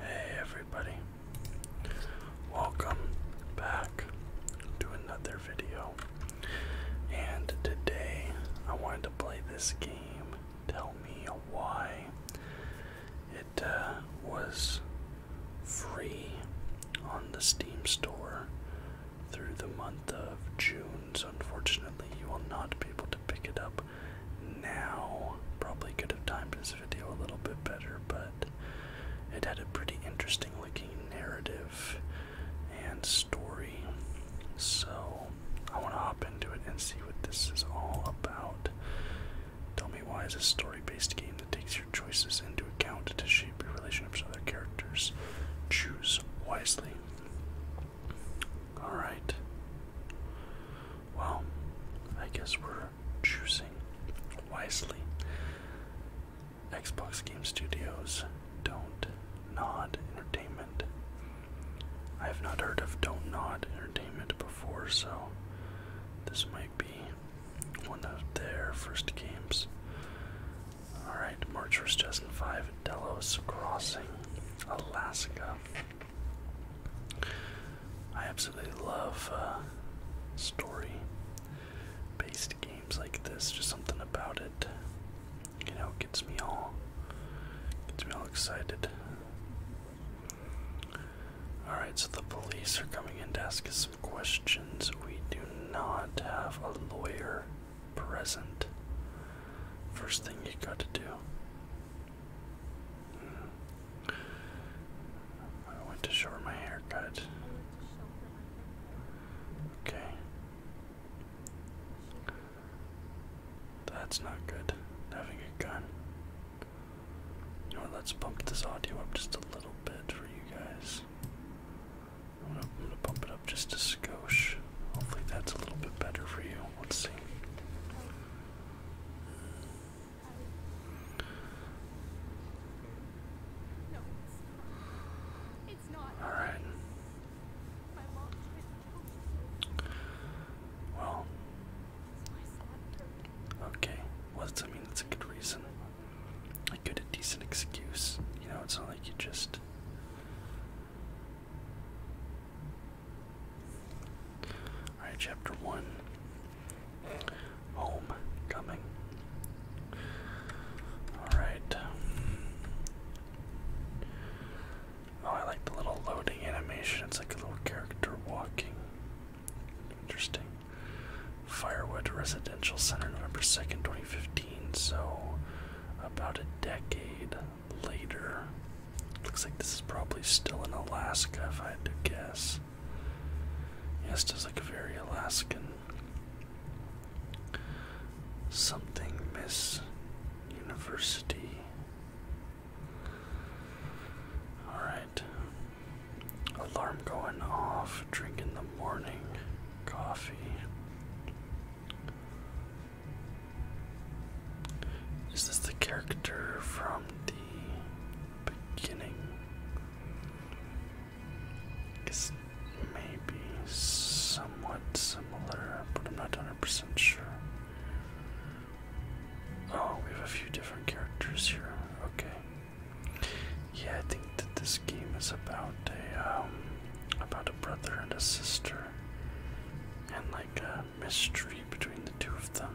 Hey everybody, welcome back to another video. And today I wanted to play this game, Tell Me Why. It uh, was free on the Steam store through the month of June, unfortunately you will not be able to pick it up now. Probably could have timed this video a little bit better, but it had a pretty interesting looking narrative and story. So I want to hop into it and see what this is all about. Tell me why is a story-based game that takes your choices into account to shape your relationships with other characters. Choose wisely. Alright well, I guess we're choosing wisely. Xbox Game Studios, Don't Nod Entertainment. I have not heard of Don't Nod Entertainment before, so this might be one of their first games. Alright, March vs. Justin 5, Delos Crossing, Alaska. I absolutely love uh, story-based games like this. Just something about it, you know, gets me all gets me all excited. All right, so the police are coming in to ask us some questions. We do not have a lawyer present. First thing you got to do I went to short my haircut. Okay. That's not good. Having a gun. You let's bump this audio up just a little bit for you guys. I'm gonna, i it up just a skosh. Hopefully that's a little bit better for you. Let's see. All right. Well. Okay. What does that mean, that's a good reason. A good, a decent excuse. You know, it's not like you just Alright, chapter one Home Coming. Alright. Oh, I like the little loading animation. It's like a little character walking. Interesting. Firewood Residential Center, November 2nd, 2015. So, about a decade later. Looks like this is probably still in Alaska if I had to guess. Yes, it does look very Alaskan. Something Miss University. Alright. Alarm going off. Drink in the morning. Coffee. Is this the character from the beginning? I guess maybe somewhat similar, but I'm not 100% sure. Oh, we have a few different characters here. Okay. Yeah, I think that this game is about a um, about a brother and a sister, and like uh, mystery between the two of them.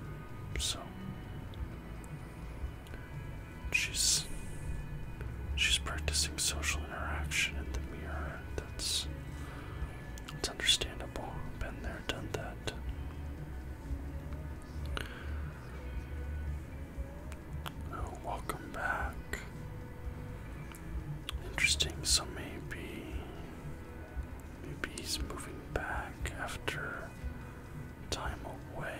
So she's she's practicing social interaction in the mirror. That's it's understandable. Been there, done that. Oh, welcome back. Interesting. So maybe Maybe he's moving back after time away.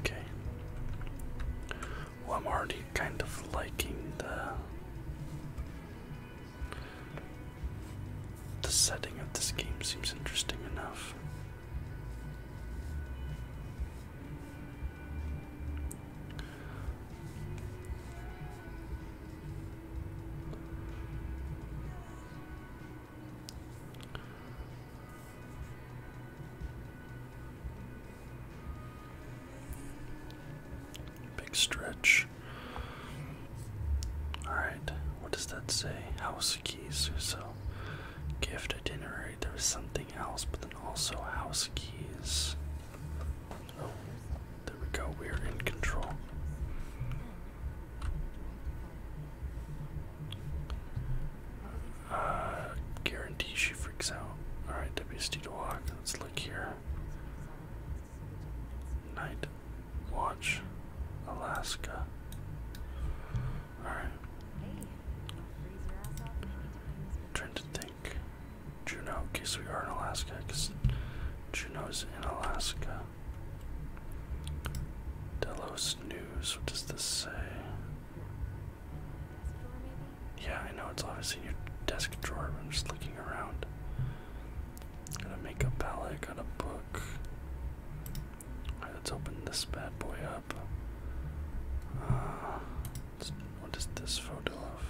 Okay. Well, I'm already kind of liking the the setting of this game seems interesting enough. Big stretch. Alright, what does that say? House keys. So, gift itinerary. There was something else, but then also house keys there we go. We're in control. Uh, guarantee she freaks out. Alright, WSD walk. Let's look here. Night watch, Alaska. Alright. Trended Juneau, in case we are in Alaska, because Juneau is in Alaska. Delos News, what does this say? Yeah, I know it's obviously in your desk drawer, I'm just looking around. Got a makeup palette, got a book. Alright, let's open this bad boy up. Uh, what is this photo of?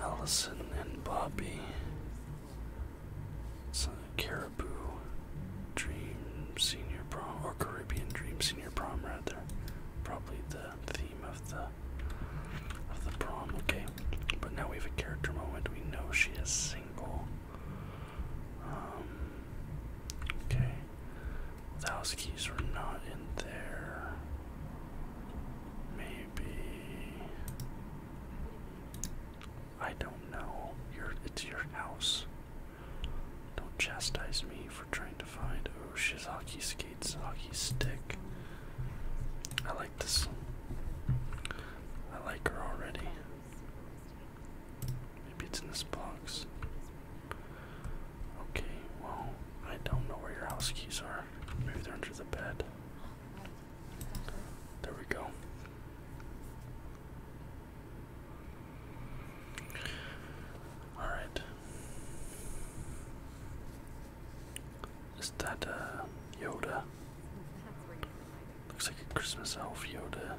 Allison and Bobby. It's a Caribou Dream Senior Prom, or Caribbean Dream Senior Prom, rather. Probably the theme of the of the prom. Okay, but now we have a character moment. We know she is single. Um, Okay. Those keys were not in there. Maybe I don't know. it's your house. Don't chastise me for trying to find oh she's hockey skates, hockey stick. I like this. I like her already. Maybe it's in this box. Okay, well, I don't know where your house keys are. Maybe they're under the bed. There we go. Alright. Is that uh, Yoda? Looks like a Christmas elf Yoda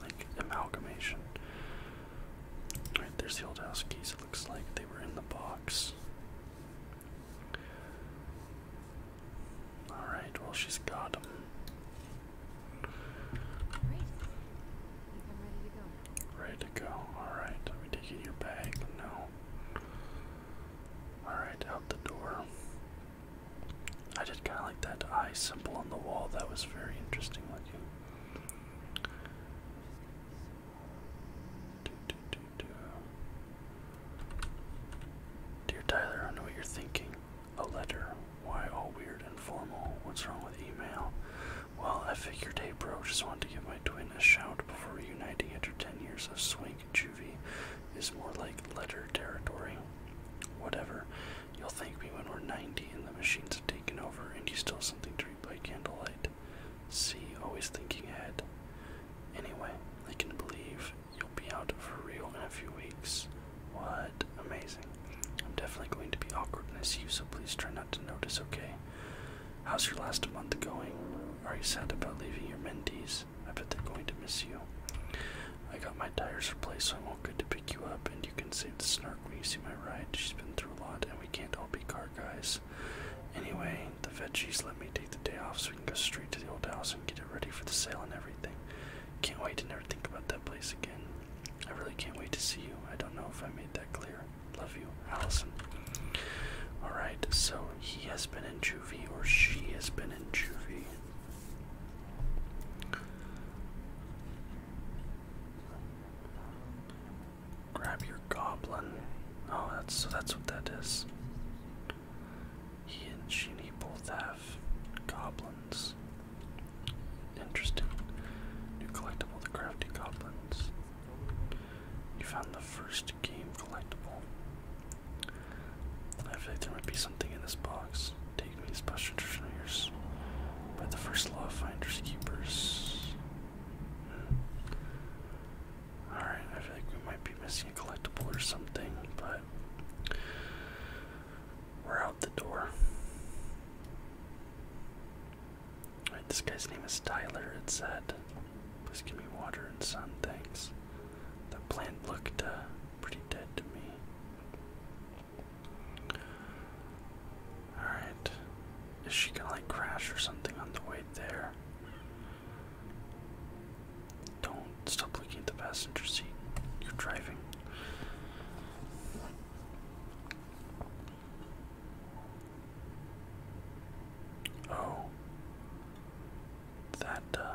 like amalgamation. Alright, there's the old house keys. It looks like they were in the box. Alright, well, she's got them. ready to go. Ready to go. Alright, let me take your bag. No. Alright, out the door. I did kind of like that eye symbol on the wall. That was very interesting looking. Do, do, do, do. Dear Tyler, I know what you're thinking. A letter. Why all weird and formal? What's wrong with email? Well, I figured, hey bro, just wanted to give my twin a shout before uniting after 10 years of swing and juvie is more like letter territory. Whatever. You'll thank me when we're 90 and the machines have taken over and you still have something to read by candlelight. See, always thinking ahead. Anyway, I can believe you'll be out for real in a few weeks. What? Amazing. I'm definitely going to be awkward and I see you, so please try not to notice, okay? How's your last month going? Are you sad about leaving your mentees? I bet they're going to miss you. I got my tires replaced, so I'm all good to pick you up, and you can save the snark when you see my ride. She's been through a lot, and we can't all be car guys. Anyway, the veggies let me take the day off so we can go straight to the old house and get it ready for the sale and everything. Can't wait to never think about that place again. I really can't wait to see you. I don't know if I made that clear. Love you, Allison. Alright, so he has been in juvie, or she has been in juvie. Grab your goblin. Oh, that's so that's what that is. He and she both have goblins. Interesting. New collectible, the crafty goblins. You found the first game collectible. I feel like there might be something in this box take these past traditional years by the first law finders keepers. Hmm. Alright, I feel like we might be missing a collectible or something, but we're out the door. this guy's name is Tyler, it said. Please give me water and sun, thanks. The plant looked uh, pretty dead to me. Alright. Is she gonna like crash or something on the way there? Don't stop looking at the passenger seat. You're driving. Oh. That, uh,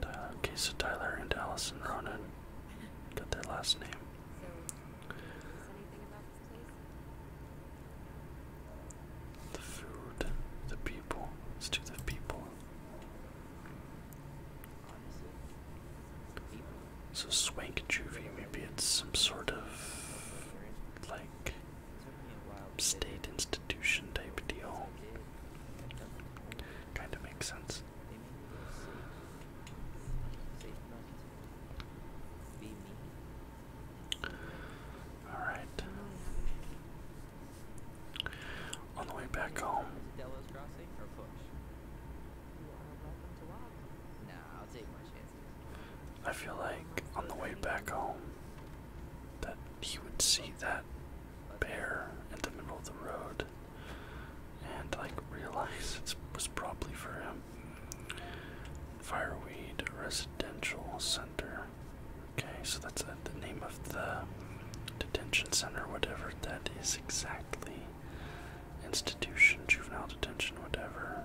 Tyler, okay, so Tyler and Allison Ronan got their last name. So, about this place? The food, the people. Let's do the people. Honestly, the people so swank juvie, maybe it's some sort of like state institution type deal. Kind of makes sense. All right. On the way back home. I feel like on the way back home that he would see that bear in the middle of the road and like realize it was probably for him. Fireweed Residential Center. Okay, so that's the name of the detention center, whatever that is exactly. Institution, juvenile detention, whatever.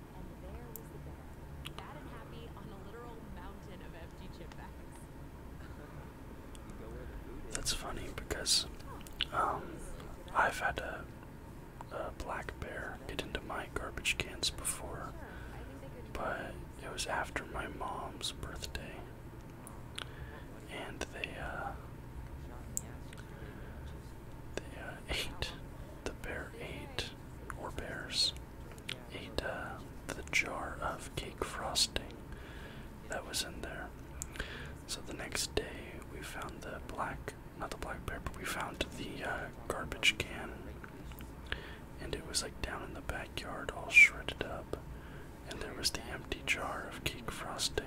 That's funny because um, I've had a, black bear get into my garbage cans before, but it was after my mom's birthday, and they uh, the uh, the bear ate, or bears, ate uh, the jar of cake frosting that was in there. So the next day we found the black, not the black bear, but we found the uh, garbage can. And it was like down in the backyard, all shredded up. And there was the empty jar of cake frosting.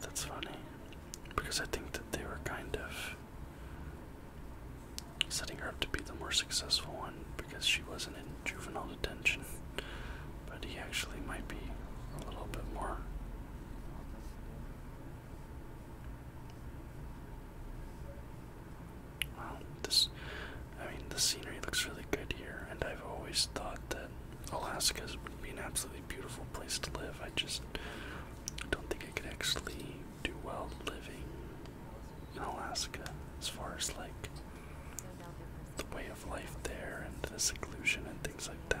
That's funny. Because I think that they were kind of setting her up to be the more successful one because she wasn't in juvenile detention. But he actually might be a little bit more. Wow, this, I mean, the scenery looks really good here, and I've always thought that Alaska would be an absolutely beautiful place to live. I just don't think I could actually do well living in Alaska as far as like the way of life there and the seclusion and things like that.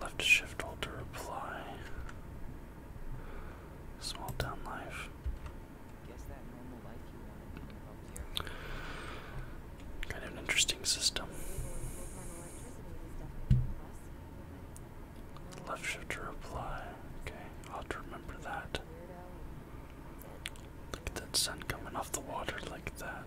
Left shift hold to reply. Small town life. Kind of an interesting system. Left shift to reply. Okay, I'll have to remember that. Look at that sun coming off the water like that.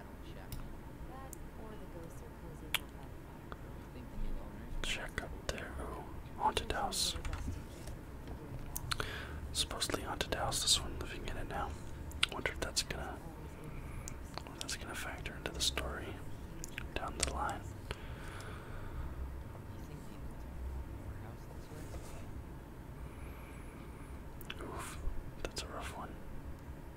Check up there. Oh, haunted house. Supposedly haunted house. This one living in it now. Wonder if that's gonna, that's gonna factor into the story down the line. Oof, that's a rough one.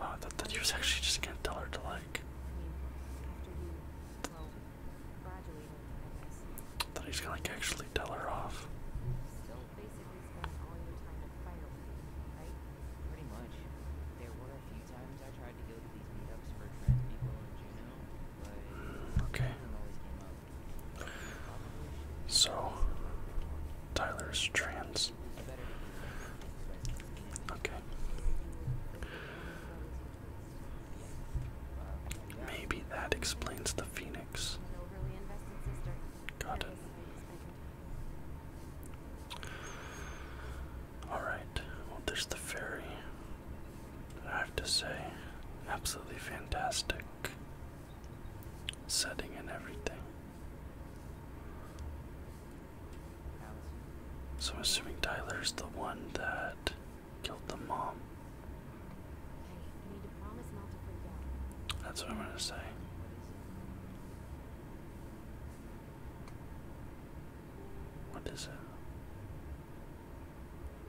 Oh, uh, that, that he was actually just gonna tell her to like. That he's gonna like actually tell her off. Still basically spent all your time at firewood, right? Pretty much. There were a few times I tried to go to these meetups for trans people in Juneau, but mm, okay. always came up. So, Tyler's trans. Okay. Maybe that explains the phoenix. Got it. Alright, well, there's the ferry. I have to say, absolutely fantastic setting and everything. So I'm assuming Tyler's the one that killed the mom. That's what I'm gonna say. What is it?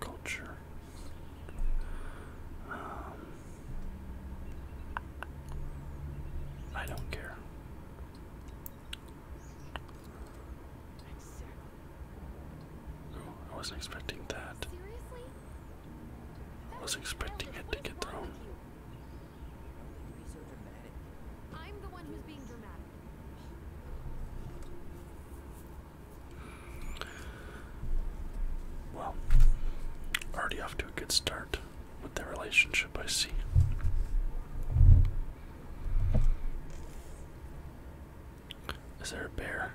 culture. Um, I don't care. I wasn't expecting that. I was expecting it to get thrown. Well, already off to a good start with the relationship, I see. Is there a bear?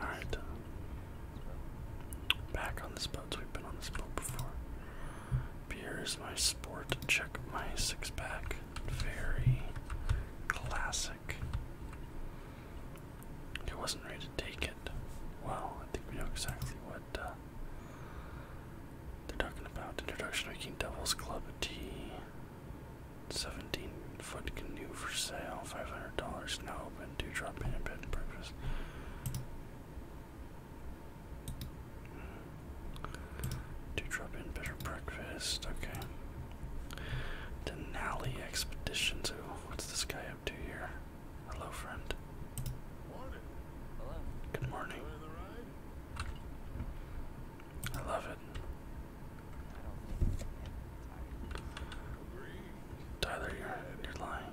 Alright. Back on this boat. We've been on this boat before. Beer is my sport. Check my six pack. Very classic. He wasn't ready to take it. Well, I think we know exactly what uh, they're talking about. Introduction to King Devil's Club Tea. 17 foot canoe for sale. $500 now open do drop in a bed and breakfast. Do drop in bed or breakfast. Okay. Denali Expedition 2. What's this guy up to here? Hello, friend. Good morning. I love it. Tyler, you're, you're lying.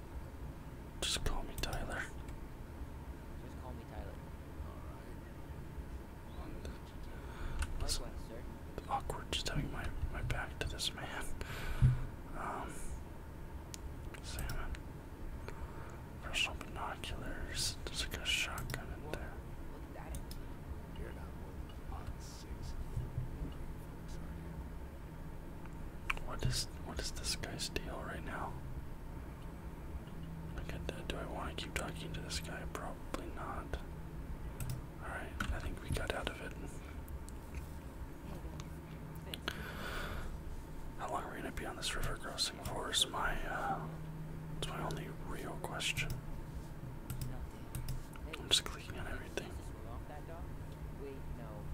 Just call me Tyler. Awkward just having my, my back to this man. Um, salmon. Personal binoculars. There's like a shotgun in there. What is what is this guy's deal right now? Do I want to keep talking to this guy? Probably not. Alright, I think we got out of it. How long are we gonna be on this river crossing for is my uh, it's my only real question. I'm just clicking everything.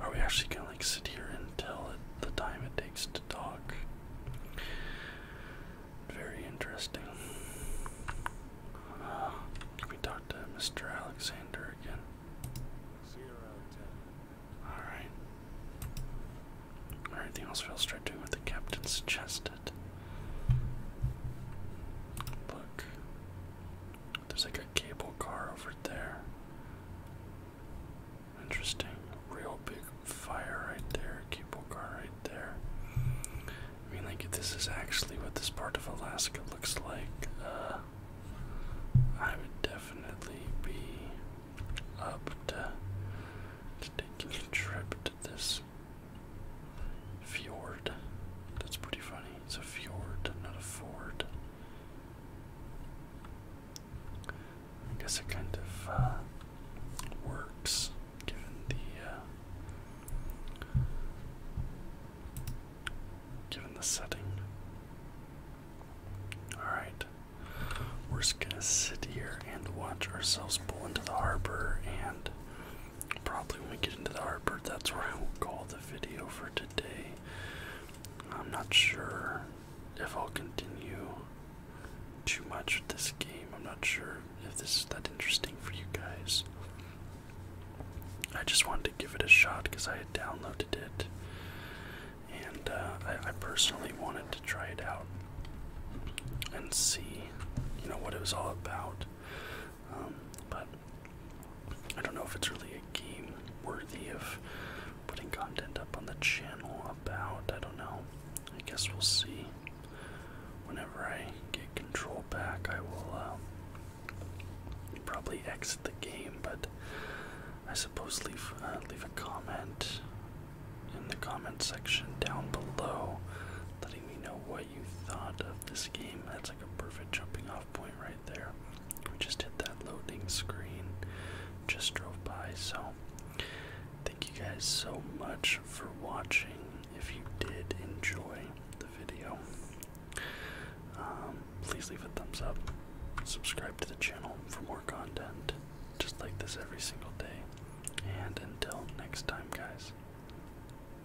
Are we actually gonna like sit here and until the time it takes to talk? Very interesting. Uh, can we talk to Mr. Alexander again? Alright. Everything else feels straight doing what the captain suggested. Look. There's like a cable car over there. Interesting. Real big fire right there. Cable car right there. I mean, like, this is actually what this part of Alaska looks like. Uh, I would definitely be up to, to taking a trip to this fjord. That's pretty funny. It's a fjord, not a ford. I guess it kind of uh, works given the uh, given the setting. Alright. We're just gonna sit here and watch ourselves pull into the harbor and probably when we get into the harbor, that's where I will call the video for today. I'm not sure if I'll continue too much with this game. I'm not sure if this is that interesting for you guys. I just wanted to give it a shot because I had downloaded it, and uh, I, personally wanted to try it out and see, you know, what it was all about. Um, but I don't know if it's really a game worthy of putting content up on the channel about. I don't know. I guess we'll see. Whenever I get control back, I will uh, probably exit the game. But I suppose leave uh, leave a comment in the comment section down below, letting me know what you thought of this game. That's like a perfect jumping off point right there. We just hit that loading screen, just drove by. So, thank you guys so much for watching. If you did enjoy the video, um, please leave a thumbs up, subscribe to the channel for more content just like this every single day. And until next time, guys,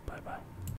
bye bye.